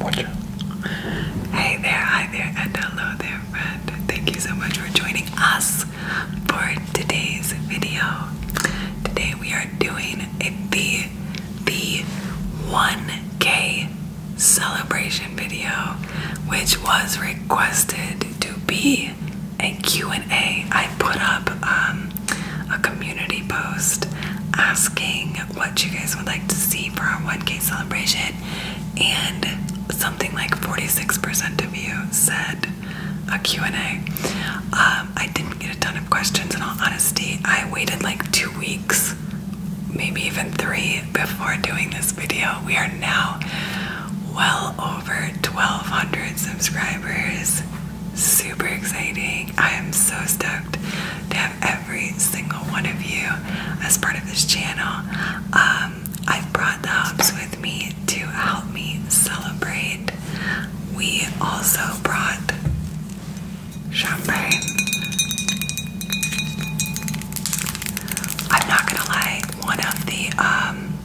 Watcher. Hey there, hi there, hello there, friend. Thank you so much for joining us for today's video. Today we are doing a the the 1K celebration video, which was requested to be a Q&A. I put up um, a community post asking what you guys would like to see for our 1K celebration, and something like 46% of you said a Q&A. Um, I didn't get a ton of questions in all honesty. I waited like two weeks, maybe even three, before doing this video. We are now well over 1,200 subscribers super exciting. I am so stoked to have every single one of you as part of this channel. Um, I've brought the hops with me to help me celebrate. We also brought champagne. I'm not gonna lie, one of the um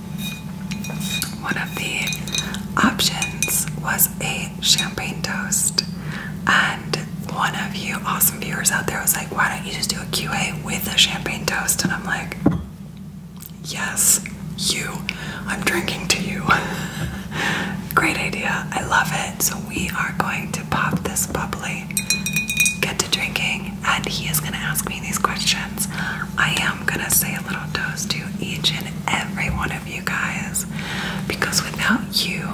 one of the options was a champagne toast, and one of you awesome viewers out there was like, Why don't you just do a QA with a champagne toast? And I'm like, Yes, you, I'm drinking to you. Great idea, I love it. So, we are going to pop this bubbly, get to drinking, and he is going to ask me these questions. I am gonna say a little toast to each and every one of you guys because without you,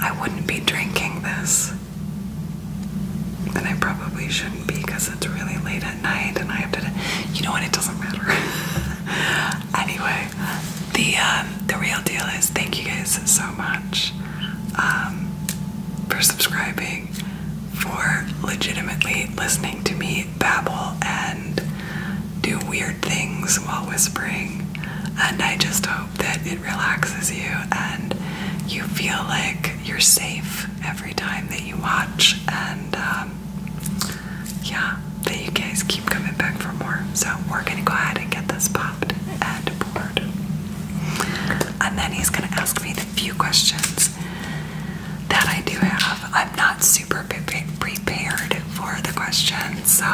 I wouldn't be drinking this. And I probably shouldn't be because it's really late at night and I have to, you know what, it doesn't matter. anyway, the, um, the real deal is thank you guys so much um, for subscribing, for legitimately listening to me babble and do weird things while whispering. And I just hope that it relaxes you and you feel like you're safe every time that you watch. And um, yeah, that you guys keep coming back for more. So we're gonna go ahead and get this popped and poured. And then he's gonna ask me the few questions that I do have. I'm not super prepared for the question, so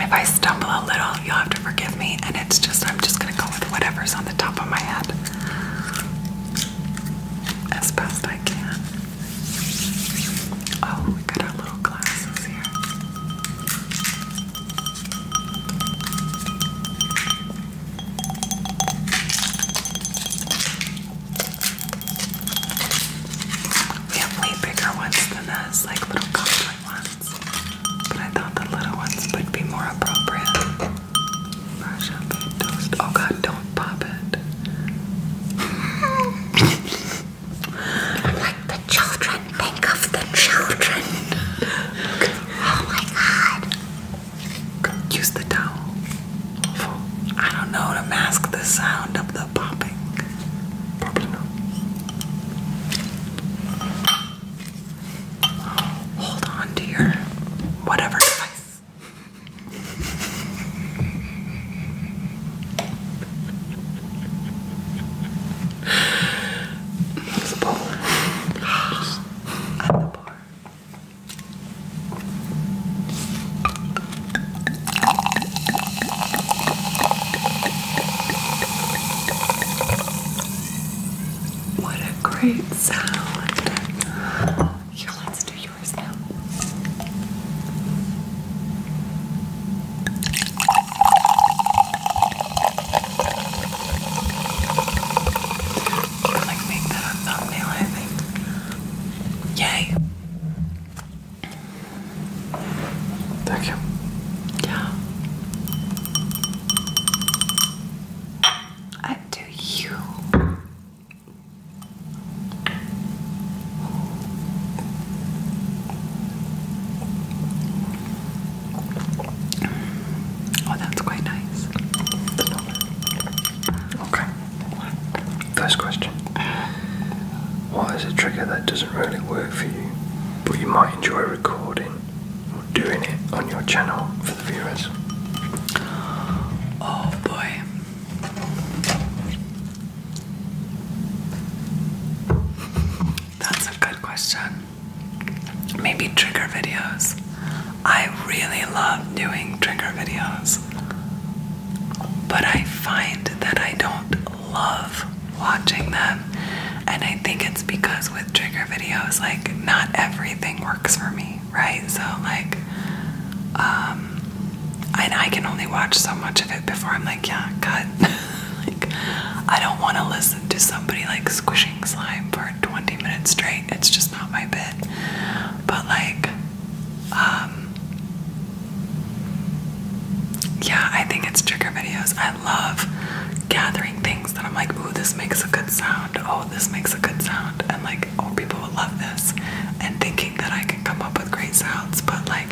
if I stumble a little, you'll have to forgive me. And it's just, I'm just going to go with whatever's on the top of my head as best I can. Oh, we got our little glasses here. We have way bigger ones than this, like little costly ones. But I thought the little ones would be more appropriate. Brush up and toast. Oh god, don't pop it. like the children, think of the children. Oh my god. Use the towel I don't know, to mask the sound of the popping. Hold on to whatever device. There's a bowl at the bar. What a great sound. Here, let's do yours now. Like make a thumbnail, I think. Yay. Thank you. Yeah. I do you. Oh, that's quite nice. Okay. First question. Why is a trigger that doesn't really work for you, but you might enjoy recording or doing it on your channel for the viewers? Oh boy. That's a good question. Maybe trigger videos. I really love doing trigger videos. But I find that I don't love watching them. And I think it's because with trigger videos, like, not everything works for me, right? So, like, um, and I can only watch so much of it before I'm like, yeah, cut. like, I don't want to listen to somebody like squishing slime for 20 minutes straight. It's just not my bit. But, like, um, yeah, I think it's trigger videos. I love gathering things that I'm like, ooh, this makes a good sound. Oh, this makes a good sound. And like, oh, people will love this. And thinking that I can come up with great sounds. But like,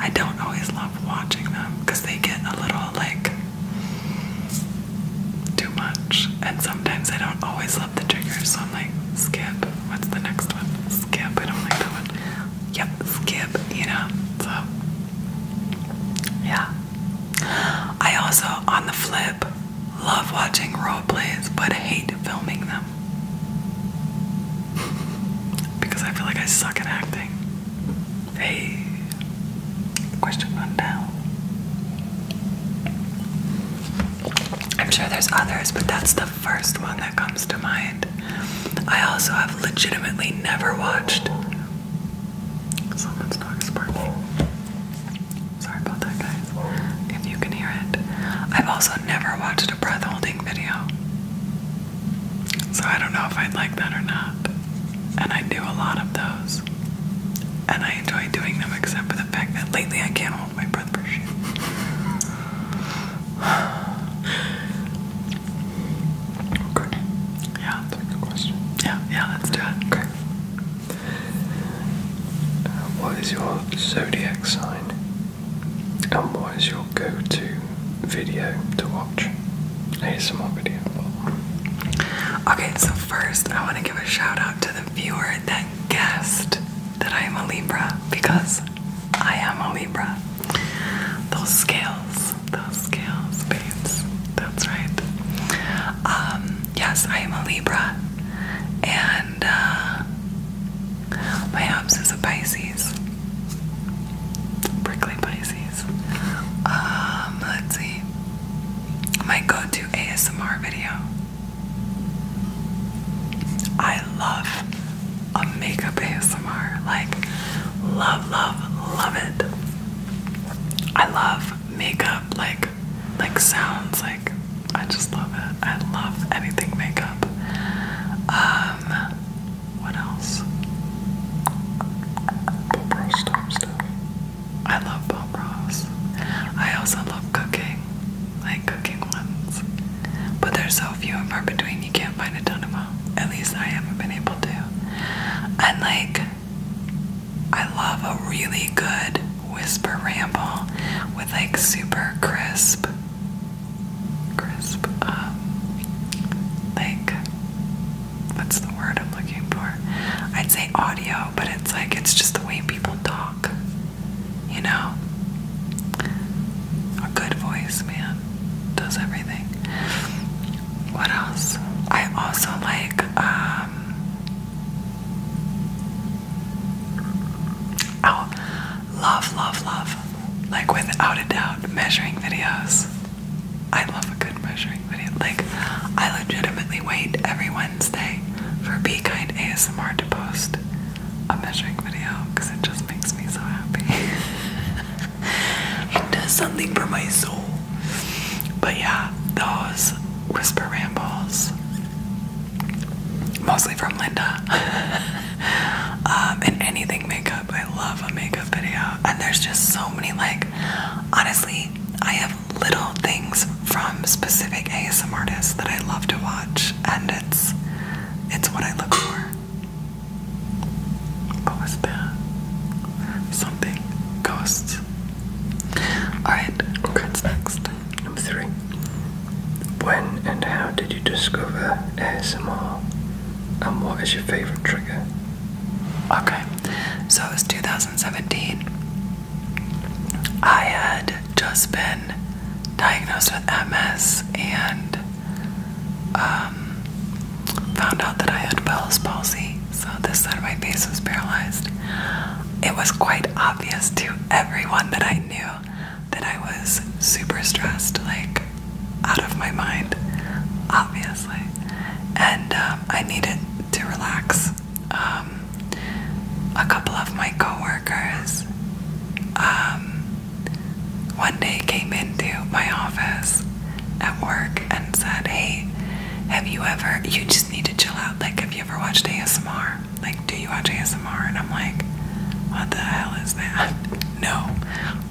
I don't always love watching them because they get a little like too much. And sometimes I don't always love the triggers. So I'm like, skip. What's the next one? Skip. I don't like that one. Yep, skip, you know. So, yeah. I also, on the flip, love watching role plays but hate filming them. because I feel like I suck at acting. Hey. Question one I'm sure there's others, but that's the the first one that comes to mind. I also have legitimately never watched. Someone's dog Sorry about that, guys. If you can hear it, I've also never watched a breath holding video. So I don't know if I'd like that or not. And I do a lot of those. And I enjoy doing them, except for the fact that lately I can't Oh, my breath for okay. Yeah. That's a Yeah, yeah, let's do it. Okay. what is your zodiac sign? And what is your go to video to watch? Here's some more video. Okay, so first I want to give a shout out to the viewer that I guessed that I am a Libra because I am a Libra. Those scales, those scales, babes. That's right. Um, yes, I am a Libra, and uh, my house is a Pisces. Prickly Pisces. Um, let's see. My go-to ASMR video I love a makeup ASMR. Like, love, love, love it. I love makeup, like, like sounds. Like, I just love it. I love anything makeup. Um, what else? I love Pop Ross. I also love cooking like cooking ones. But there's so few in far between, you can't find a ton of them. At least I haven't been able to. And like, I love a really good whisper ramble with like super crisp, crisp, um, like, what's the word I'm looking for? I'd say audio, but it's like, it's just the way people talk. You know? A good voice, man. Does everything. What else? I also like, um, Oh, love, love, love. Like, without a doubt, measuring videos. I love a good measuring video. Like, I legitimately wait every Wednesday for Be Kind ASMR to post a measuring video because it just makes me so happy. it does something for my soul. But yeah, those whisper rambles, mostly from Linda, um, and anything makeup. I love a makeup video, and there's just so many. Like, honestly, I have little things from specific ASM artists that I love to watch, and it's it's what I look for. What was that? Something. Ghosts. Alright, okay. what's next? Number three. When and how did you discover ASMR? And what is your favorite trigger? Okay, so it was 2017. I had had just been diagnosed with MS and um, found out that I had Bell's palsy, so this side of my face was paralyzed. It was quite obvious to everyone that I knew that I was super stressed, like out of my mind, obviously. And um, I needed to relax. Um, a couple of my coworkers one day came into my office at work and said, Hey, have you ever you just need to chill out, like have you ever watched ASMR? Like, do you watch ASMR? And I'm like, What the hell is that? No,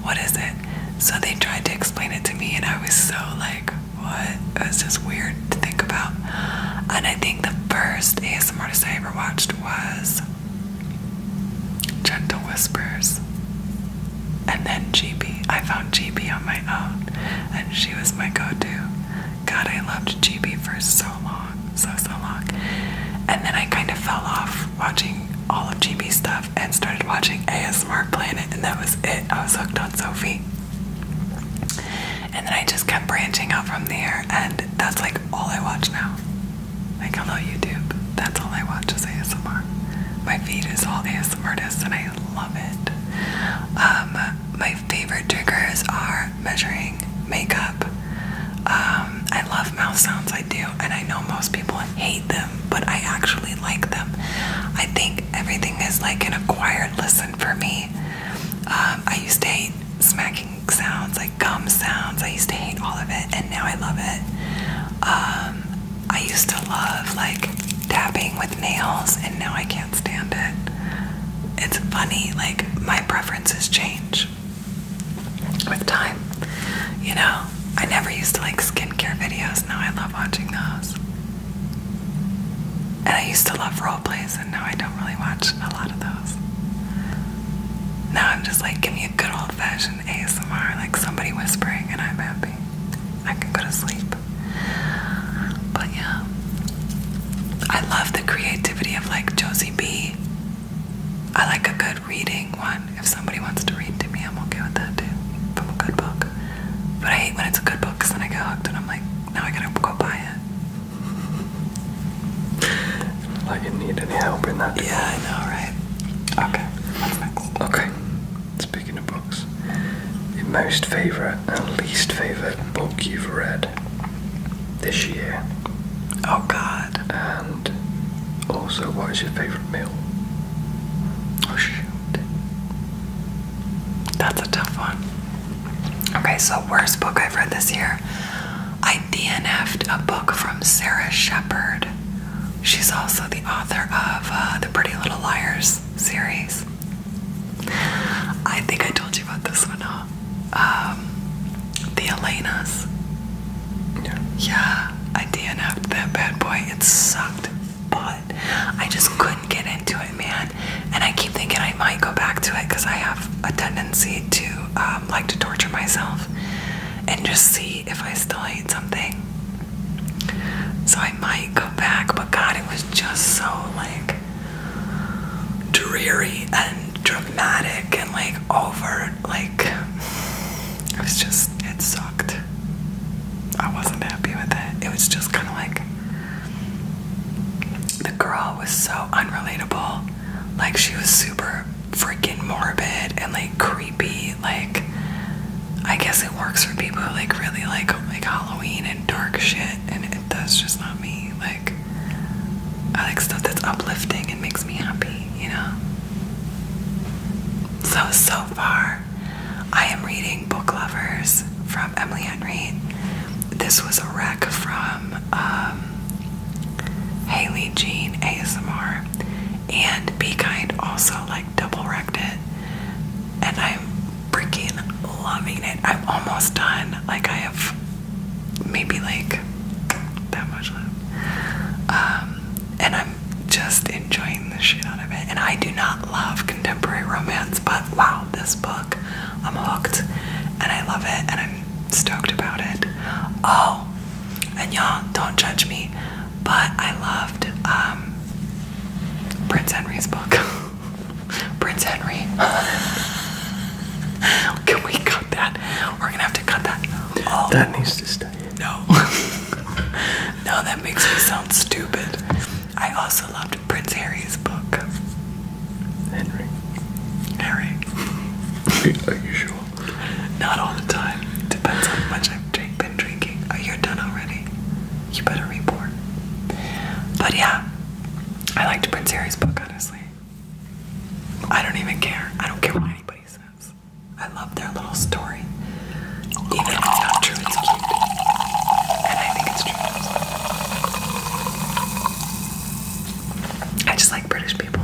what is it? So they tried to explain it to me and I was so like, What? It was just weird to think about. And I think the first ASMR artist I ever watched was Gentle Whispers, and then GB. I found GB on my own, and she was my go to. God, I loved GB for so long, so, so long. And then I kind of fell off watching all of GB stuff and started watching ASMR Planet, and that was it. I was hooked on Sophie. And then I just kept branching out from there, and that's like all I watch now. Like, hello, YouTube. That's all I watch is ASMR. My feed is all ASMR artists, and I love it. Um, my favorite triggers are measuring makeup. Um, I love mouth sounds, I do, and I know most people hate them, but I actually like them. I think everything is like an acquired lesson for me. Um, I used to hate smacking sounds, like gum sounds. I used to hate all of it, and now I love it. Um, I used to love like tapping with nails, and now I can't stand it. It's funny, like my preferences change with time. You know, I never used to like skincare videos. Now I love watching those. And I used to love role plays, and now I don't really watch a lot of those. Now I'm just like, give me a good old fashioned ASMR, like somebody whispering, and I'm happy. I can go to sleep. But yeah, I love the creativity of like Josie B. I like a good reading one. If somebody wants to read to me, I'm okay with that too. From a good book. But I hate when it's a good book because then I get hooked and I'm like, now I gotta go buy it. I didn't need any help in that. Yeah, I know, right? Okay, Okay, speaking of books, your most favourite and least favourite book you've read this year? Oh, God. And also, what is your favourite meal? Oh, shoot. That's a tough one. Okay, so worst book I've read this year. I DNF'd a book from Sarah Shepard. She's also the author of uh, the Pretty Little Liars series. I think I told you about this one, huh? Um, the Elenas. Yeah. yeah, I DNF'd that bad boy. It sucked, but I just couldn't get into it, man. And I keep thinking I might go back to it because I have a tendency to um, like to torture myself and just see if I still hate something. So I might go back, but God, it was just so like dreary and dramatic and like over. Like, it was just, it sucked. I wasn't happy with it. It was just kind of like the girl was so unrelatable. Like, she was super freaking morbid and like creepy. Like, I guess it works for people who like really like like Halloween and dark shit, and it, that's just not me. Like, I like stuff that's uplifting and makes me happy, you know. So so far, I am reading Book Lovers from Emily Henry. This was a wreck from um, Haley Jean ASMR, and Be Kind also like double wrecked it, and I'm freaking loving it. I'm almost done. Like I have maybe like that much left, um, and I'm just enjoying the shit out of it. And I do not love contemporary romance, but wow, this book, I'm hooked, and I love it, and I'm stoked about it. Oh, and y'all don't judge me, but I loved um, Prince Henry's book. Prince Henry. Can we cut that? We're gonna have to cut that. Oh. That needs to stay. No. no, that makes me sound stupid. I also loved Prince Harry's book. Henry. Harry. Are you sure? Not all the time. Depends on how much I've been drinking. Oh, you're done already. You better report. But yeah, I liked Prince Harry's book, honestly. I don't even care. I don't care what anybody says. I love their little story. Even if it's not true, it's cute. And I think it's true. I just like British people.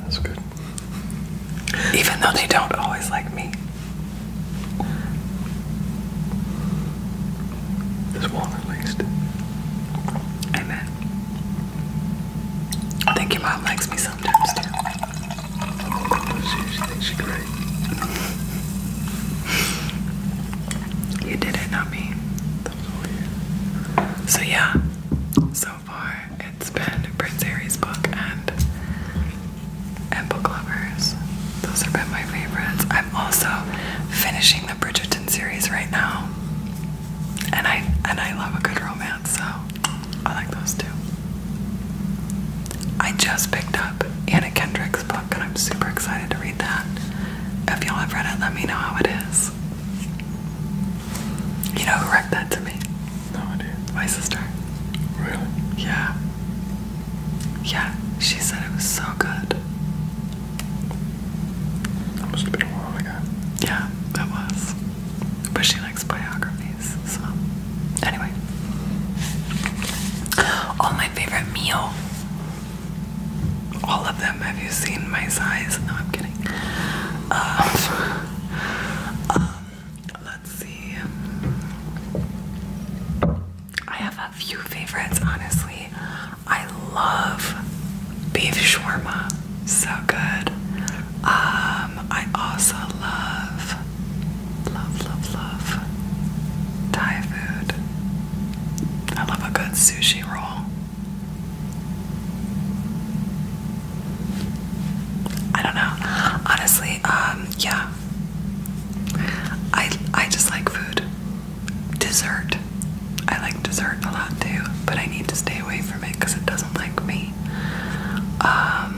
That's good. Even though they don't always like me. This one at least. Amen. I think your mom likes me sometimes too. You did it, not me. So yeah, so far it's been Prince Harry's book and and book lovers. Those have been my favorites. I'm also finishing the Bridgerton series right now. And I and I love a good romance, so I like those too. I just picked up Anna Kendrick's book and I'm super excited to read that. If y'all have read it, let me know how it is. You know who wrecked that to me? No idea. My sister. Really? Yeah. Yeah, she said it was so good. That must have been a while ago. Yeah, that was. But she likes biographies, so. Anyway. All my favorite meal. All of have you seen my size? No, I'm kidding. Uh, uh, let's see. I have a few favorites, honestly. I love beef shawarma, so good. Um, I also love, love, love, love Thai food. I love a good sushi roll. I don't know. Honestly, um, yeah. I I just like food. Dessert. I like dessert a lot too, but I need to stay away from it because it doesn't like me. Um,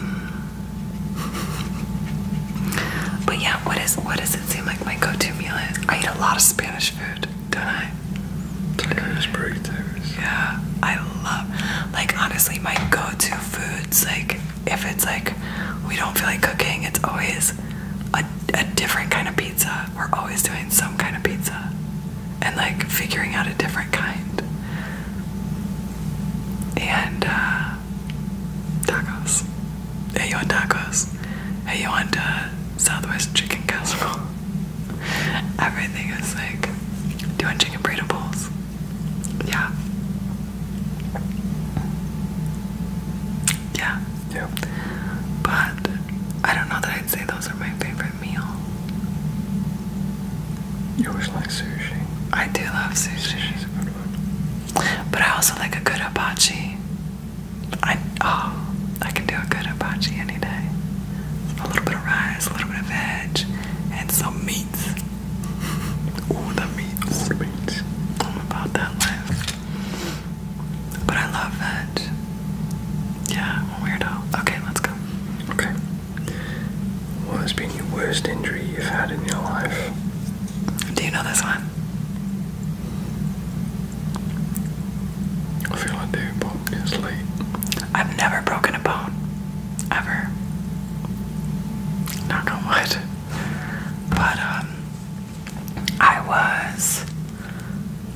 but yeah, what is what does it seem like my go-to meal is? I eat a lot of Spanish food don't Yeah, I love. Like honestly, my go-to foods, like if it's like we don't feel like cooking, it's always a, a different kind of pizza. We're always doing some kind of pizza, and like figuring out a different kind. And uh, tacos. Hey, you want tacos? Hey, you want uh, Southwest chicken casserole? Everything is like doing chicken breadables. Yeah. Yeah. Yeah. But I don't know that I'd say those are my favorite meal. You always like sushi. I do love sushi. It's a good one. But I also like a good hibachi. I oh, I can do a good hibachi any day a little bit of rice, a little bit of veg, and some meats. Ooh, the meat. Ooh, the meat. I'm about that life. But I love veg. Yeah, weirdo. Okay, let's go. Okay. What has been your worst injury you've had in your life? Do you know this one? I feel I do, but it's late. I've never broken a bone. Ever. Knock on But um I was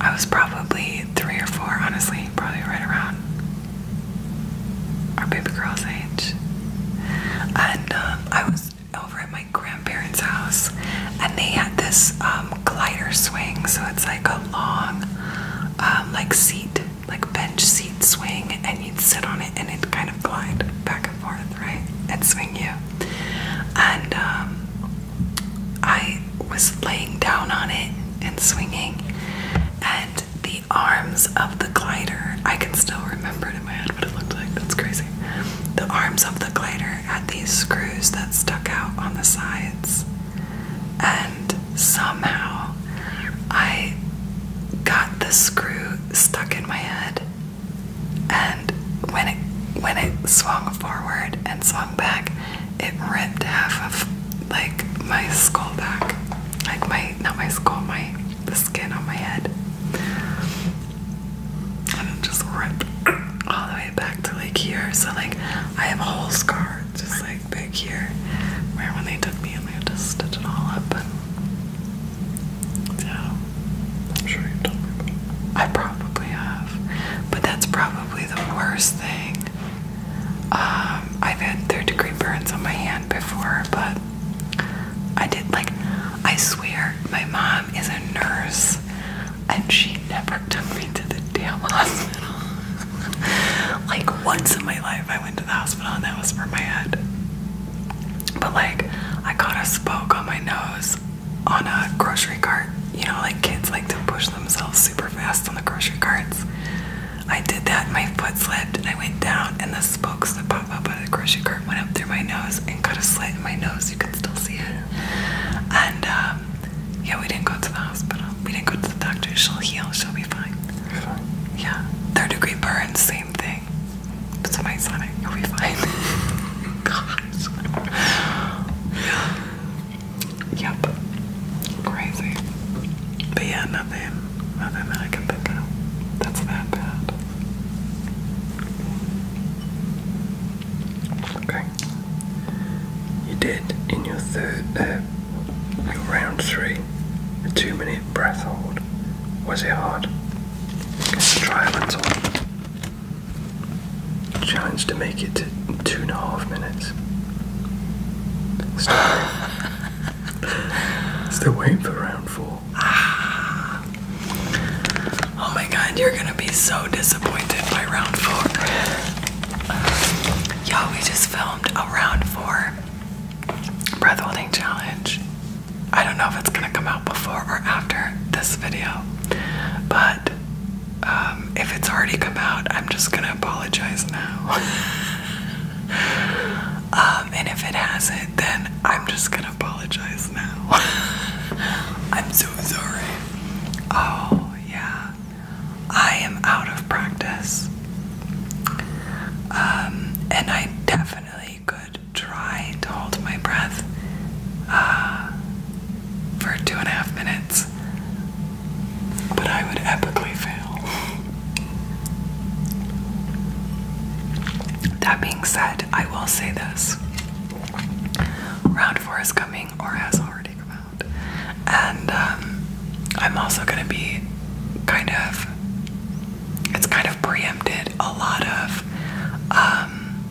I was probably three or four, honestly, probably right around our baby girl's age. And um, I was over at my grandparents' house and they had this um glider swing, so it's like a long, um, like seat, like bench seat swing, and you'd sit on it and it'd kind of glide back and forth, right? And swing you. And um, I was laying down on it and swinging, and the arms of the glider, I can still remember it in my head what it looked like. That's crazy. The arms of the glider had these screws that stuck out on the sides and somehow I got the screw stuck in my head and when it when it swung forward and swung back it ripped half of like my skull back like my not my skull my the skin on my head and it just ripped all the way back to like here so like I have a whole scar just like Back here. Where when they took me and they had to stitch it all up, yeah, I'm sure you've told me about it. I probably have, but that's probably the worst thing. Um, I've had third degree burns on my hand before, but I did like, I swear, my mom is a nurse and she never Pittsburgh took me to the damn hospital. like once in my life, I went to the hospital and that was for my head. But like, I caught a spoke on my nose on a grocery cart. You know, like kids like to push themselves super fast on the grocery carts. I did that, my foot slipped, and I went down, and the spokes that pop up out of the grocery cart went up through my nose and cut a slit in my nose. You can still see it. And um, yeah, we didn't go to the hospital. We didn't go to the doctor. She'll heal. She'll be fine. you fine. Yeah. Third degree burns. same thing. But some ice on it. You'll be fine. Gosh. yep. Crazy. But yeah, nothing. Nothing that I can think of. That's that bad. Okay. You did in your third. Uh, Round three, a two minute breath hold. Was it hard? Let's try a mental. Challenge to make it to two and a half minutes. Still, waiting for round four. Ah. Oh my god, you're gonna be so disappointed by round four. Yeah, we just filmed filmed a breath holding challenge. I don't know if it's gonna come out before or after this video, but um, if it's already come out, I'm just gonna apologize now. Um, and if it hasn't, then I'm just gonna apologize now. I'm so sorry. Oh, yeah. I am out of practice. Um, and I definitely could try to hold my breath uh, for two and a half minutes, but I would epically fail. That being said, I will say this round four is coming or has already. And um, I'm also going to be kind of, it's kind of preempted a lot of um,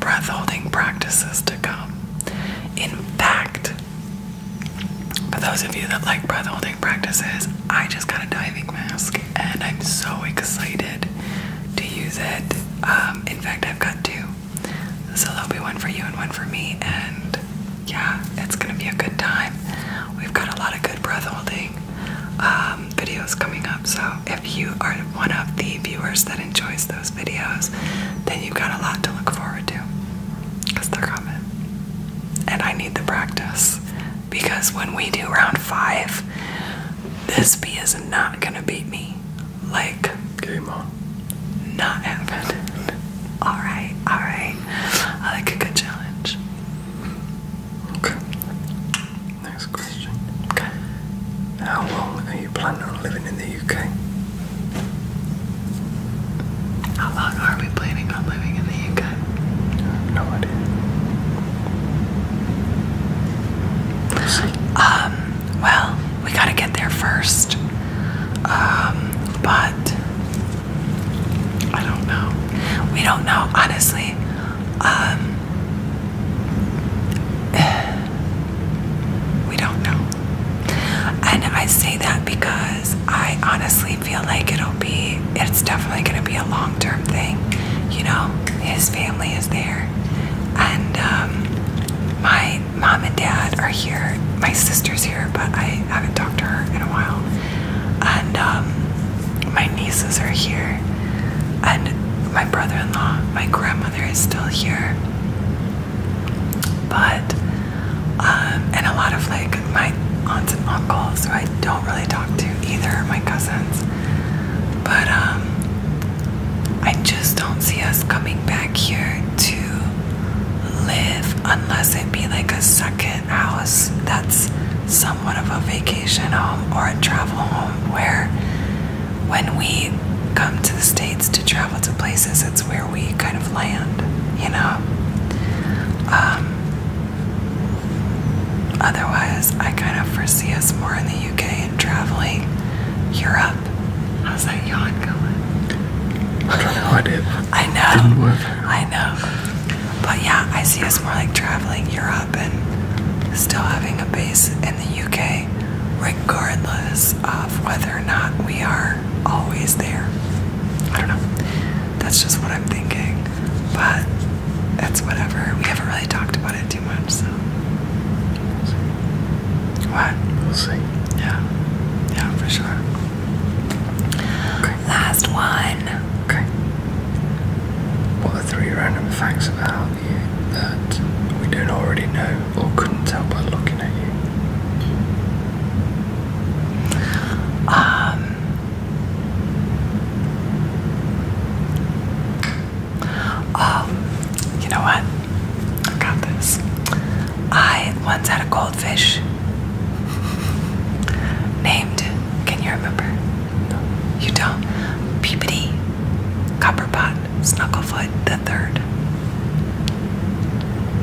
breath holding practices to come. In fact, for those of you that like breath holding practices, I just got a diving mask and I'm so excited to use it. Um, in fact, I've got two. So there'll be one for you and one for me, and yeah, it's gonna be a good time. We've got a lot of good breath holding um, videos coming up, so if you are one of the viewers that enjoys those videos, then you've got a lot to look forward to because they're coming. And I need the practice because when we do round five, this bee is not gonna beat me. Like, Game on. Not happening. Alright, alright. I like a good challenge. Okay. Next question. Okay. How long are you planning on living in the UK? How long are we planning on living in the UK? no idea. Um, well, we gotta get there first. Um, but I don't know. We don't know, honestly. Um, we don't know. And I say that because I honestly feel like it'll be, it's definitely going to be a long term thing. You know, his family is there. And um, my mom and dad are here. My sister's here, but I haven't talked to her in a while. And um, my nieces are here. And my brother in law, my grandmother is still here. But, um, and a lot of like my aunts and uncles who I don't really talk to either, my cousins. But um, I just don't see us coming back here to live unless it be like a second house that's somewhat of a vacation home or a travel home where when we come to the States to travel to places, it's where we kind of land, you know? Um, otherwise, I kind of foresee us more in the UK and traveling Europe How's that yawn going? I don't know. I did. I know. didn't work. I know. But yeah, I see us more like traveling Europe and still having a base in the UK, regardless of whether or not we are always there. I don't know. That's just what I'm thinking. But that's whatever. We haven't really talked about it too much, so. We'll see. What? We'll see. Yeah. Yeah, for sure. Last one. Okay. What are three random facts about you that we don't already know or couldn't tell by looking at you? Um, um, you know what? I got this. I once had a goldfish Named, can you remember? No. You don't. Peepity, Copperpot, Snugglefoot, the third.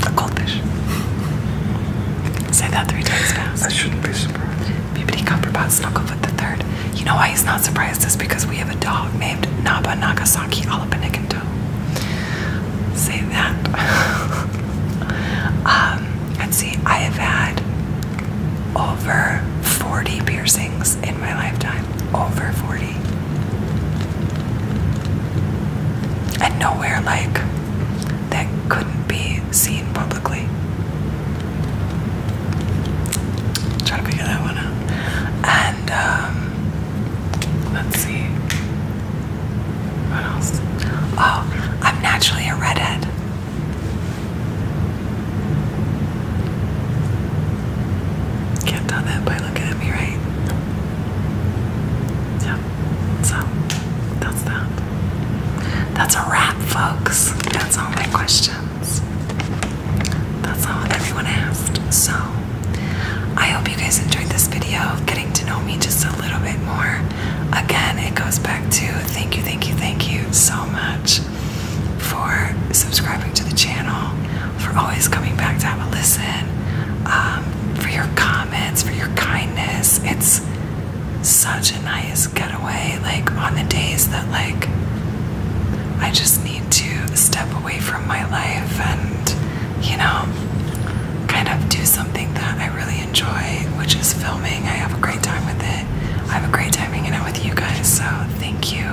A goldfish. Say that three times I shouldn't be surprised. Peepity, Copperpot, Snugglefoot, the third. You know why he's not surprised is because we have a dog named Naba Nagasaki Alapanikin say that. Um, let's see, I have had over 40 piercings in my lifetime. Over 40. And nowhere like that couldn't be seen publicly. Try to figure that one out. And um, Let's see. What else? Oh, I'm naturally a redhead. Can't tell that by looking at me, right? Yeah. So that's that. That's a wrap, folks. That's all my questions. That's all everyone asked. So I hope you guys enjoyed this video, getting to know me just a a little bit more. Again, it goes back to thank you, thank you, thank you so much for subscribing to the channel, for always coming back to have a listen, um, for your comments, for your kindness. It's such a nice getaway, like on the days that like I just need to step away from my life and you know, kind of do something that I really enjoy, which is filming. I have a great time with it. I have a great time hanging out with you guys, so thank you.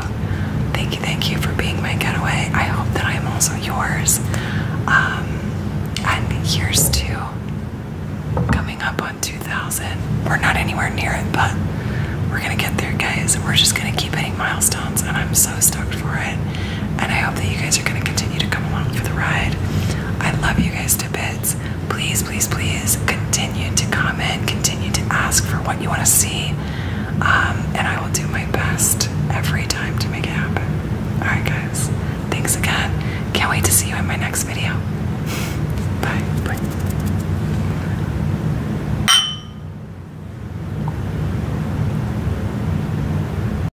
Thank you, thank you for being my getaway. I hope that I am also yours. Um, and here's to coming up on 2000. We're not anywhere near it, but we're gonna get there, guys. We're just gonna keep hitting milestones, and I'm so stoked for it and I hope that you guys are going to continue to come along for the ride. I love you guys to bits. Please, please, please continue to comment, continue to ask for what you want to see, um, and I will do my best every time to make it happen. Alright, guys, thanks again. Can't wait to see you in my next video. Bye. Bye.